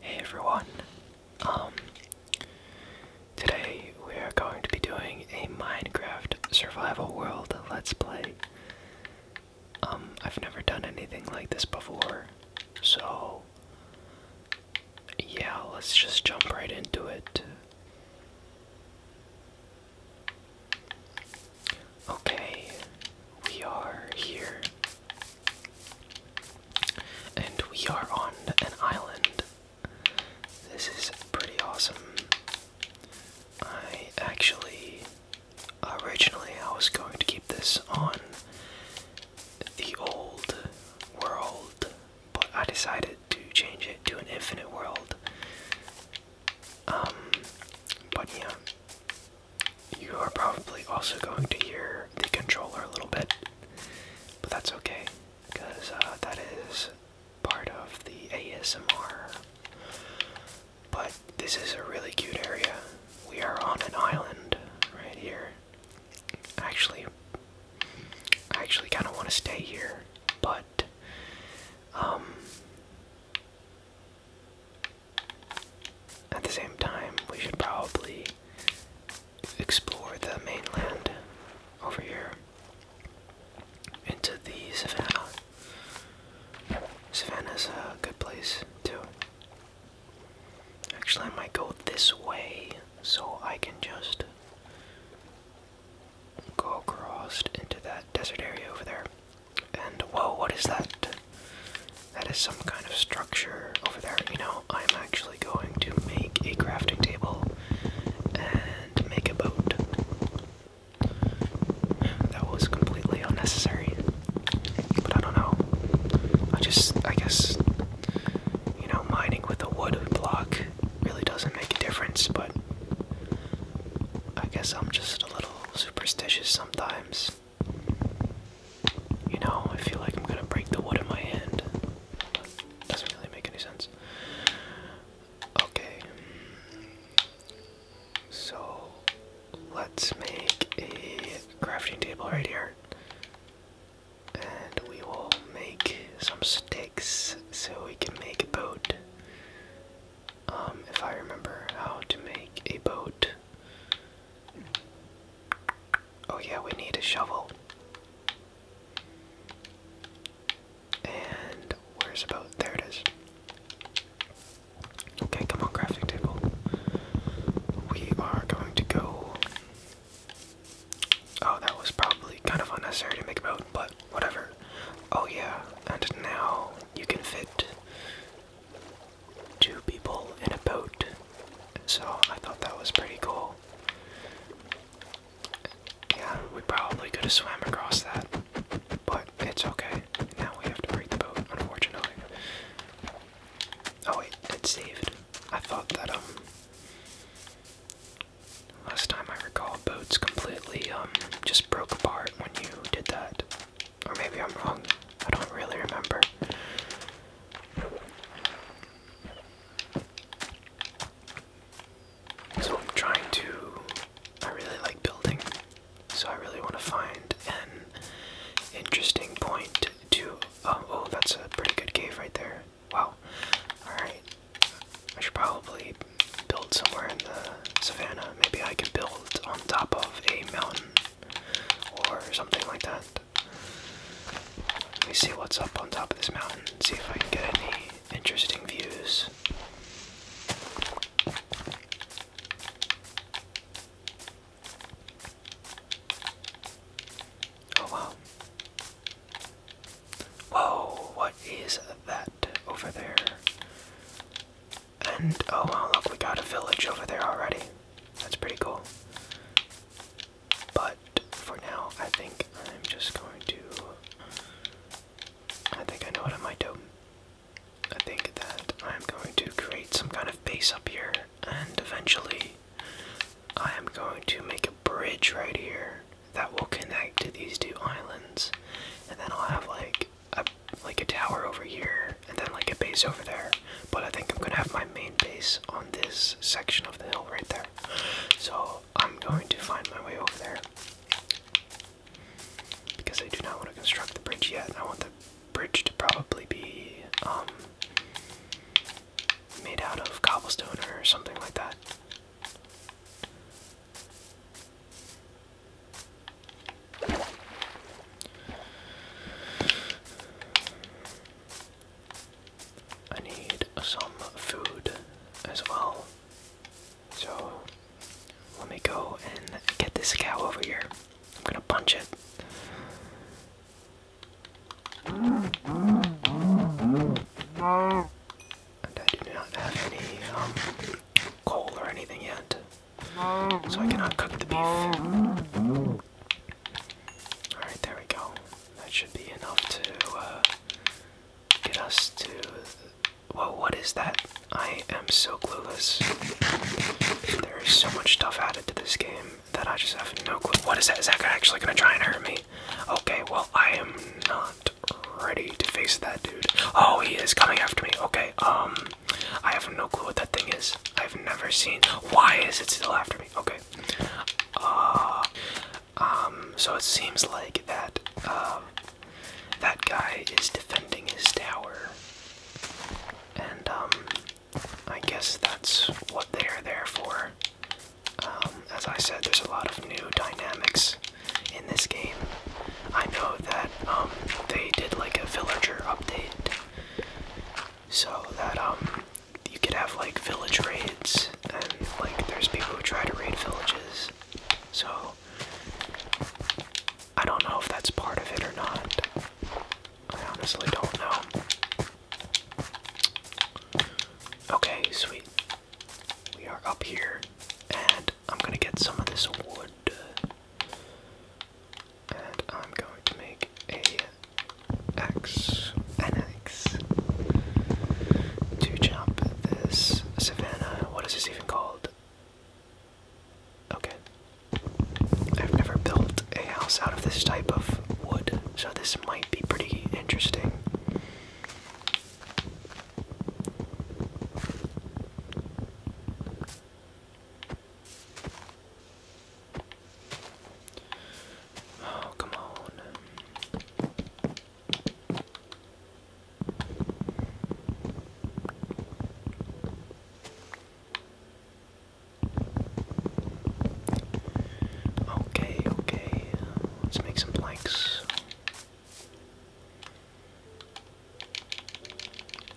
Hey everyone. Um today we are going to be doing a Minecraft survival world let's play. Um I've never done anything like this before. So yeah, let's just jump right into it. Okay. We are here. And we are on an island. This is pretty awesome. I actually originally I was going to keep this on the old world, but I decided to change it to an infinite world. Um but yeah. You are probably also going to hear the controller a little bit, but that's okay because uh, that is part of the ASMR. But this is a really cute area. We are on an island right here. Actually, I actually kind of want to stay here, but um, at the same time, we should probably explore the mainland over here into the savannah. Savannah's a good place too. Actually, I might go this way so I can just go across into that desert area over there. And whoa, what is that? That is some kind of structure over there. You know, I'm actually going to make a crafting table and make a boat. That was completely unnecessary. But I don't know. I just, I guess, you know, mining with a wood block really doesn't make a difference, but I guess I'm just a little superstitious sometimes. You know, I feel like I'm gonna break the wood in my hand. Doesn't really make any sense. Okay. So let's make a crafting table right here. And we will make some sticks so we can make a boat. Um, if I remember how to make a boat, Oh, yeah, we need a shovel. And where's about? There it is. Okay, come on, crafting table. We are going to go. Oh, that was probably kind of unnecessary to make about, but whatever. Oh, yeah, and now you can fit two people in a boat. So I thought that was pretty cool. Yeah, we probably could have swam across that, but it's okay. Now we have to break the boat, unfortunately. Oh wait, it's saved. I thought that, um, last time I recall, boats completely, um, just broke apart when you did that. Or maybe I'm wrong. I don't really remember. So I'm trying to. I really like building, so I really want to find an interesting point to. Oh, oh, that's a pretty good cave right there. Wow. Alright. I should probably build somewhere in the savannah. Maybe I can build on top of a mountain or something like that. Let me see what's up on top of this mountain see if I can get any interesting views. Oh wow. Whoa, what is that over there? And oh wow, look, we got a village over there already. That's pretty cool. But for now, I think I'm just going to. I think I know what I might do. I think that I'm going to create some kind of base up here, and eventually, I am going to make a bridge right here that will connect to these two islands, and then I'll have like a like a tower over here, and then like a base over there, but I think I'm gonna have my main base on this section of the hill right there. So I'm going to find my way over there. Because I do not want to construct the bridge yet. I want the bridge to probably be um, made out of cobblestone or something like that. I need some food as well. So let me go and get this cow over here. I'm gonna punch it. And I do not have any um, coal or anything yet, so I cannot cook the beef. Alright, there we go. That should be enough to uh, get us to. Whoa, what is that? I am so clueless. There is so much stuff added to this game that I just have no clue. What is that? Is that actually gonna try and hurt me? Okay, well, I am not ready to face that dude. Oh, he is coming after me. Okay, um, I have no clue what that thing is. I've never seen. Why is it still after me? Okay, uh, um, so it seems like that uh, that guy is defending his tower, and um, I guess that's what they're there for. Um, as I said, there's a lot of new dynamics in this game. I know that they did like a villager update, so that um, you could have like village raids, and like there's people who try to raid villages. So I don't know if that's part of it or not. I honestly don't know. Okay, sweet. We are up here, and I'm gonna get some of this wood. And I'm going to make a X and X to jump this savannah. What is this even called? Okay. I've never built a house out of this type of wood, so this might be pretty interesting. Oh, come on. Okay, okay. Let's make some blanks.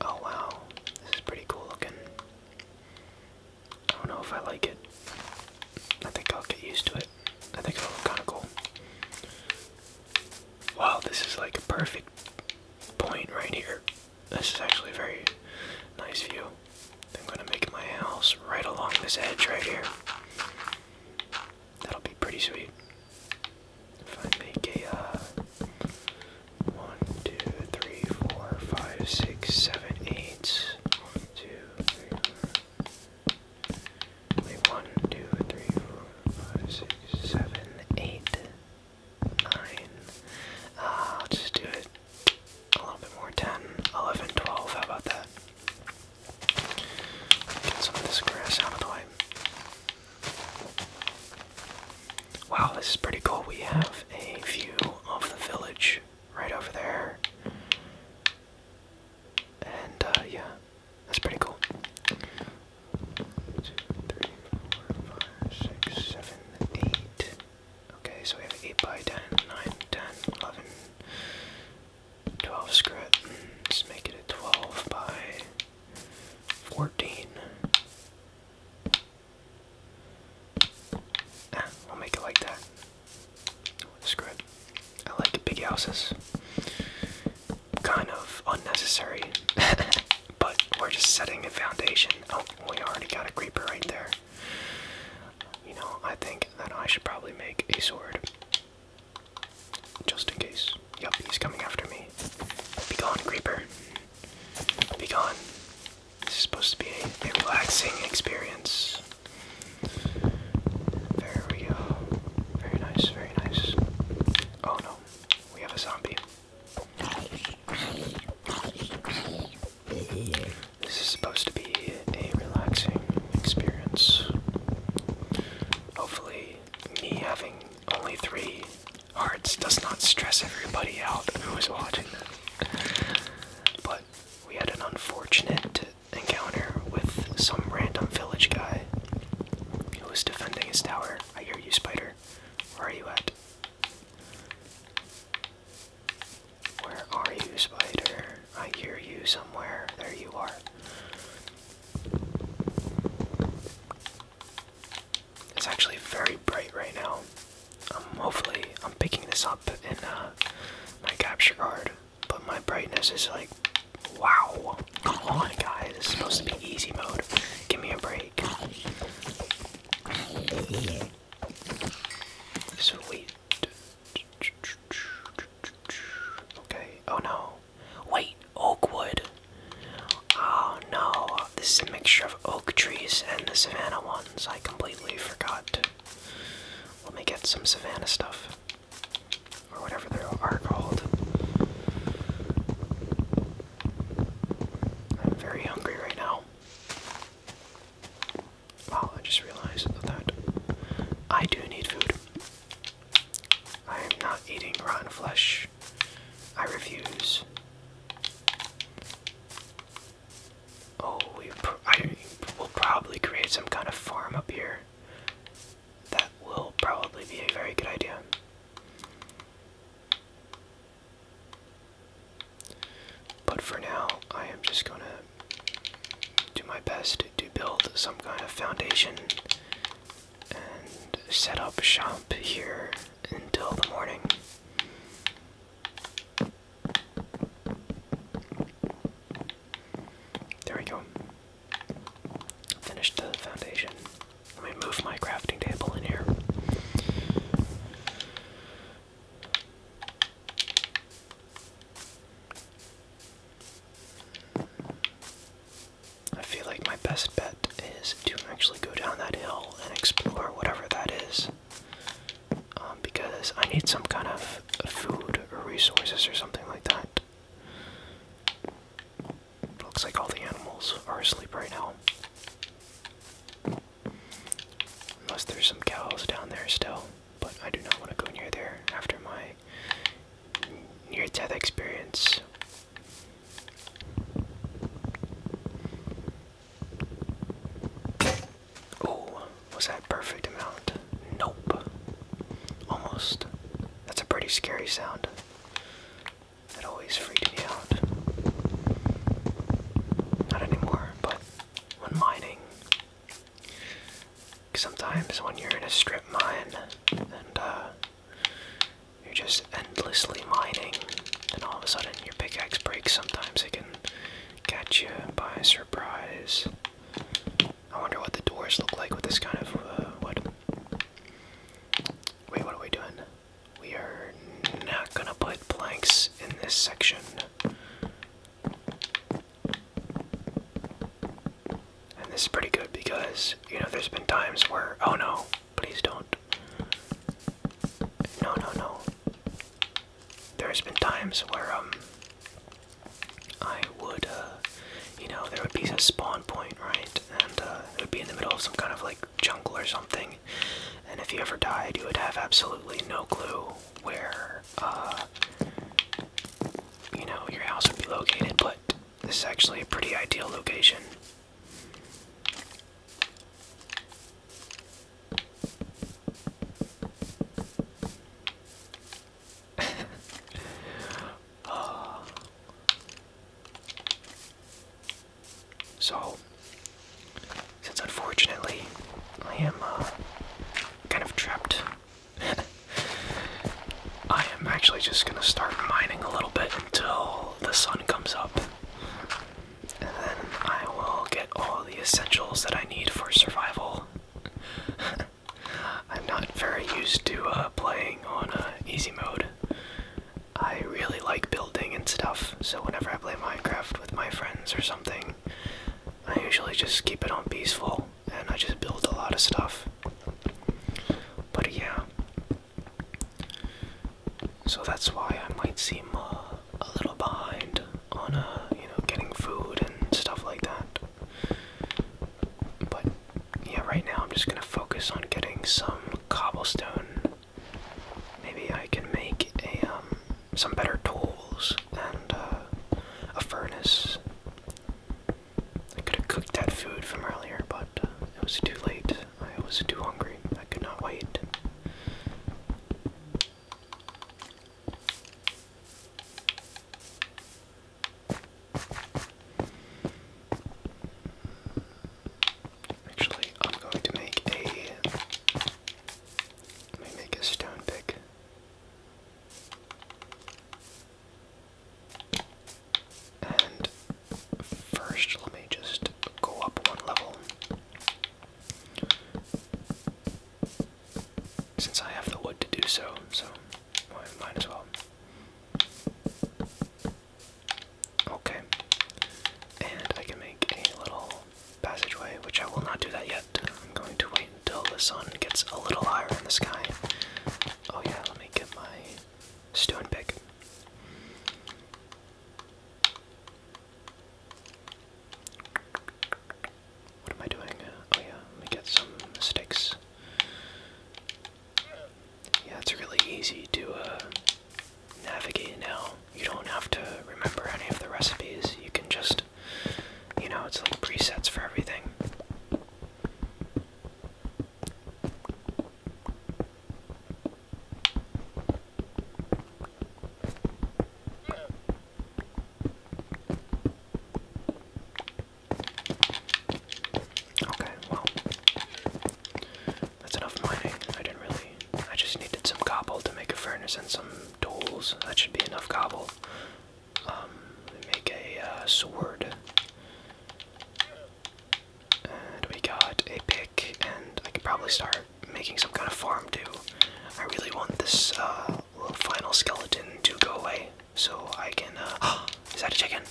Oh wow, this is pretty cool looking. I don't know if I like it. I think I'll get used to it. I think it'll look kind of cool. Wow, this is like a perfect point right here. This is actually a very nice view. I'm gonna make my house right along this edge right here. That'll be pretty sweet. If I make a uh, one, two, three, four, five, six, seven, eight one, two, three, four, five, six, seven, eight, nine. Uh, just do it a little bit more. 10, 11, 12. How about that? Get some of this grass out of the way. Wow, this is pretty cool. We have a view of the village right over there. And uh, yeah, that's pretty cool. Okay, so we have 8 by 10, 9, 10, 11, 12. Screw Let's make it a 12 by 14. Ah, we'll make it like that. Screw it. I like big houses. Kind of unnecessary, but we're just setting a foundation. Oh, we already got a creeper right there. You know, I think that I should probably make a sword. Just in case. Yep, he's coming after me. Be gone, creeper. Be gone. This is supposed to be a, relaxing experience. Very, very nice, very nice. Oh no, we have a zombie. This is supposed to be a relaxing experience. Hopefully, me having only three hearts does not stress everybody out who is watching. But we had an unfortunate encounter with some random village guy who was defending his tower. I hear you, Spider. Where are you at? Where are you, Spider? I hear you somewhere. There you are. It's actually very bright right now. Um, hopefully I'm picking this up in uh, my capture card, but my brightness is like, wow. Come oh on, guys, it's supposed to be easy mode. Give me a break. Sweet. Okay, oh no. Wait, oak wood. Oh no, this is a mixture of oak trees and the savannah ones. I completely forgot let me get some Savannah stuff. Or whatever they are called. I'm very hungry right now. Wow, I just realized that I do need food. I am not eating raw flesh. I refuse. Oh, we I will probably create some kind of farm up here. That will probably be a very good idea. But for now, I am just gonna do my best to build some kind of foundation and set up shop here until the morning. There we go. Finish the foundation. Let me move my crafting table in here. I feel like my best bet is to actually go down that hill and explore whatever that is. Um, because I need some kind of food or resources or something like that. looks like all the animals are asleep right now. Unless there's some cows down there still, but I do not want to go near there after my near death experience. Oh, was that perfect amount? Nope. Almost. That's a pretty scary sound. That always freaked me out. Not anymore, but when mining. Sometimes when you're in a strip mine and uh, you're just endlessly mining, then all of a sudden your pickaxe breaks, sometimes it can catch you by surprise. I wonder what the doors look like with this kind of uh, Wait, what are we doing? We are not gonna put planks in this section. And this is pretty good because, you know, there's been times where. Oh no, please don't. No, no, no there's been times where um, I would uh, you know there would be a spawn point right and uh, it would be in the middle of some kind of like jungle or something and if you ever died you would have absolutely no clue where uh, you know your house would be located but this is actually a pretty ideal location so, since unfortunately I am uh, kind of trapped, I am actually just gonna start mining a little bit until the sun comes up. And then I will get all the essentials that I need for survival I'm not very used to uh, playing on uh, easy mode. I really like building and stuff, so whenever I play Minecraft with my friends or something, I usually just keep it on peaceful and I just build a lot of stuff. But yeah. So that's why I might seem uh, a little behind on uh, you know getting food and stuff like that. But yeah, right now I'm just gonna focus on getting some cobblestone. Maybe I can make um, some better tools and uh, a furnace. I could have cooked that food from earlier, but uh, it was too late. I was too hungry. I could not wait. Actually, I'm going to make a let me make a stone pick. And first, let me just go up one level since I have the wood to do so, so I might as well. Okay. And I can make a little passageway, which I will not do that yet. I'm going to wait until the sun gets a little higher in the sky. Oh yeah, let me get my stone pick. What am I doing? Uh, oh yeah, let me get some sticks. Yeah, it's really easy to uh, navigate now. You don't have to remember any of the recipes. You can just, you know, it's like presets for everything. Okay, well, that's enough mining. I didn't really. I just needed some cobble to make a furnace and some tools. That should be enough cobble. Um, make a uh, sword. And we got a pick, and I can probably start making some kind of farm too. I really want this uh, final skeleton to go away so I can. Uh, is that a chicken?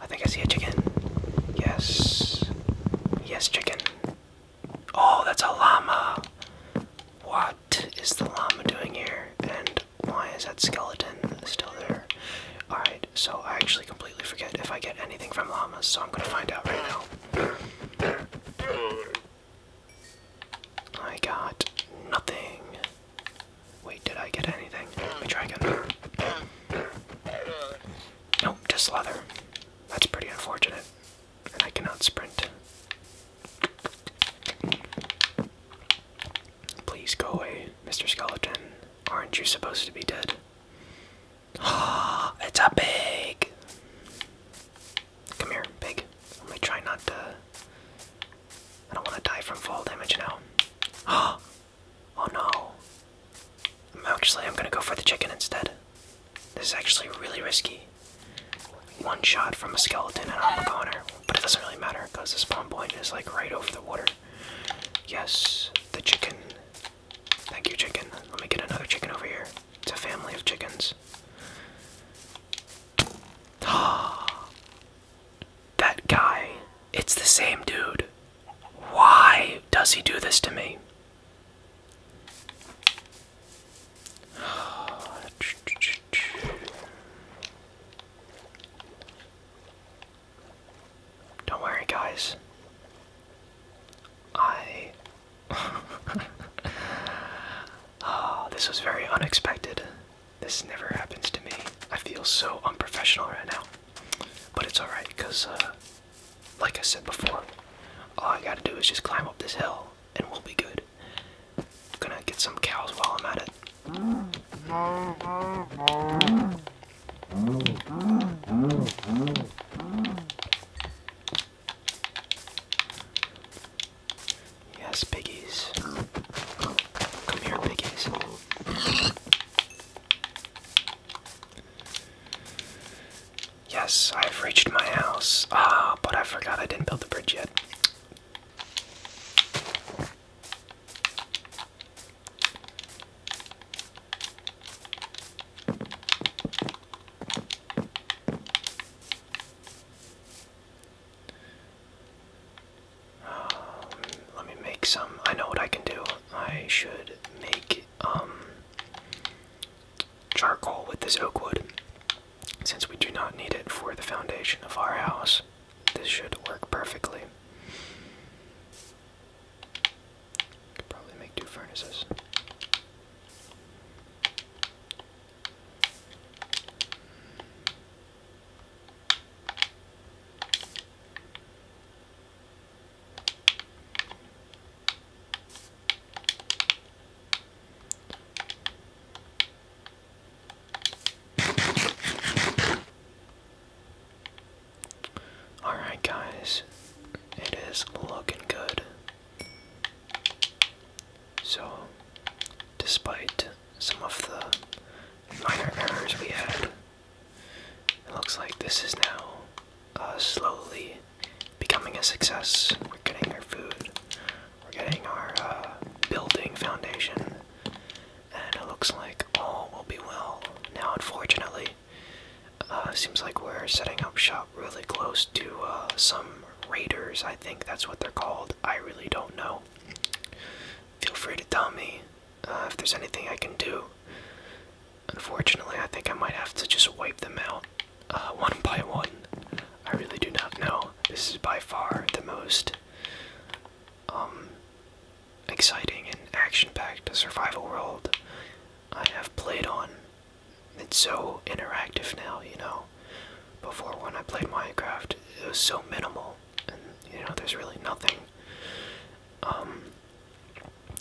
I think I see a chicken. Yes. Yes, chicken. Oh, that's a llama. What is the llama doing here? And why is that skeleton still there? Alright, so I actually completely forget if I get anything from llamas, so I'm gonna find out right now. I got nothing. Wait, did I get anything? Let me try again. Nope, just leather. That's pretty unfortunate. And I cannot sprint. Please go away, Mr. Skeleton. Aren't you supposed to be dead? Ah, it's a pig! Come here, pig. Let me try not to. I don't want to die from fall damage now. Oh, oh no. am actually, I'm gonna go for the chicken instead. This is actually really risky. One shot from a skeleton and I'm a but it doesn't really matter because the spawn point is like right over the water. Yes, the chicken. Thank you, chicken. Let me get another chicken over here. It's a family of chickens. that guy. It's the same dude. Why does he do this to me? Don't worry, guys. I Oh, this was very unexpected. This never happens to me. I feel so unprofessional right now. But it's alright, because, uh, like I said before, all I gotta do is just climb up this hill and we'll be good. I'm gonna get some cows while I'm at it. Yes, piggies. Come here, piggies. Yes, I've reached my house. Ah, but I forgot I didn't build the bridge yet. Um, let me make some. I know what I can do. I should make um, charcoal with this oak wood. Since we do not need it for the foundation of our house, this should work perfectly. Could probably make two furnaces. Alright, guys, it is looking good. So, despite some of the minor errors we had, it looks like this is now uh, slowly becoming a success. We're getting our food, we're getting our uh, building foundation, and it looks like all will be well. Now, unfortunately, uh, seems like we're setting up shop really close to uh, some raiders, I think that's what they're called. I really don't know. Feel free to tell me uh, if there's anything I can do. Unfortunately, I think I might have to just wipe them out uh, one by one. I really do not know. This is by far the most um, exciting and action-packed survival world I have played on. It's so interactive now, you know. Before when I played Minecraft, it was so minimal, and you know, there's really nothing. Um,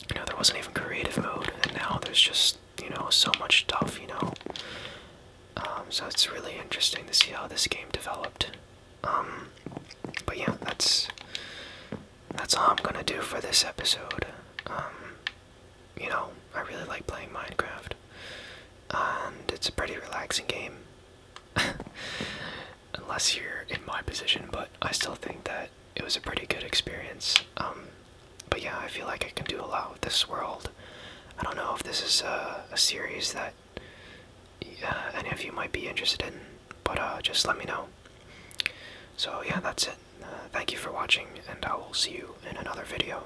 you know, there wasn't even creative mode, and now there's just you know so much stuff. You know, um, so it's really interesting to see how this game developed. Um, but yeah, that's that's all I'm gonna do for this episode. Um, you know, I really like playing Minecraft and it's a pretty relaxing game. Unless you're in my position, but I still think that it was a pretty good experience. Um, but yeah, I feel like I can do a lot with this world. I don't know if this is a, series that uh, any of you might be interested in, but uh, just let me know. So yeah, that's it. Uh, thank you for watching, and I will see you in another video.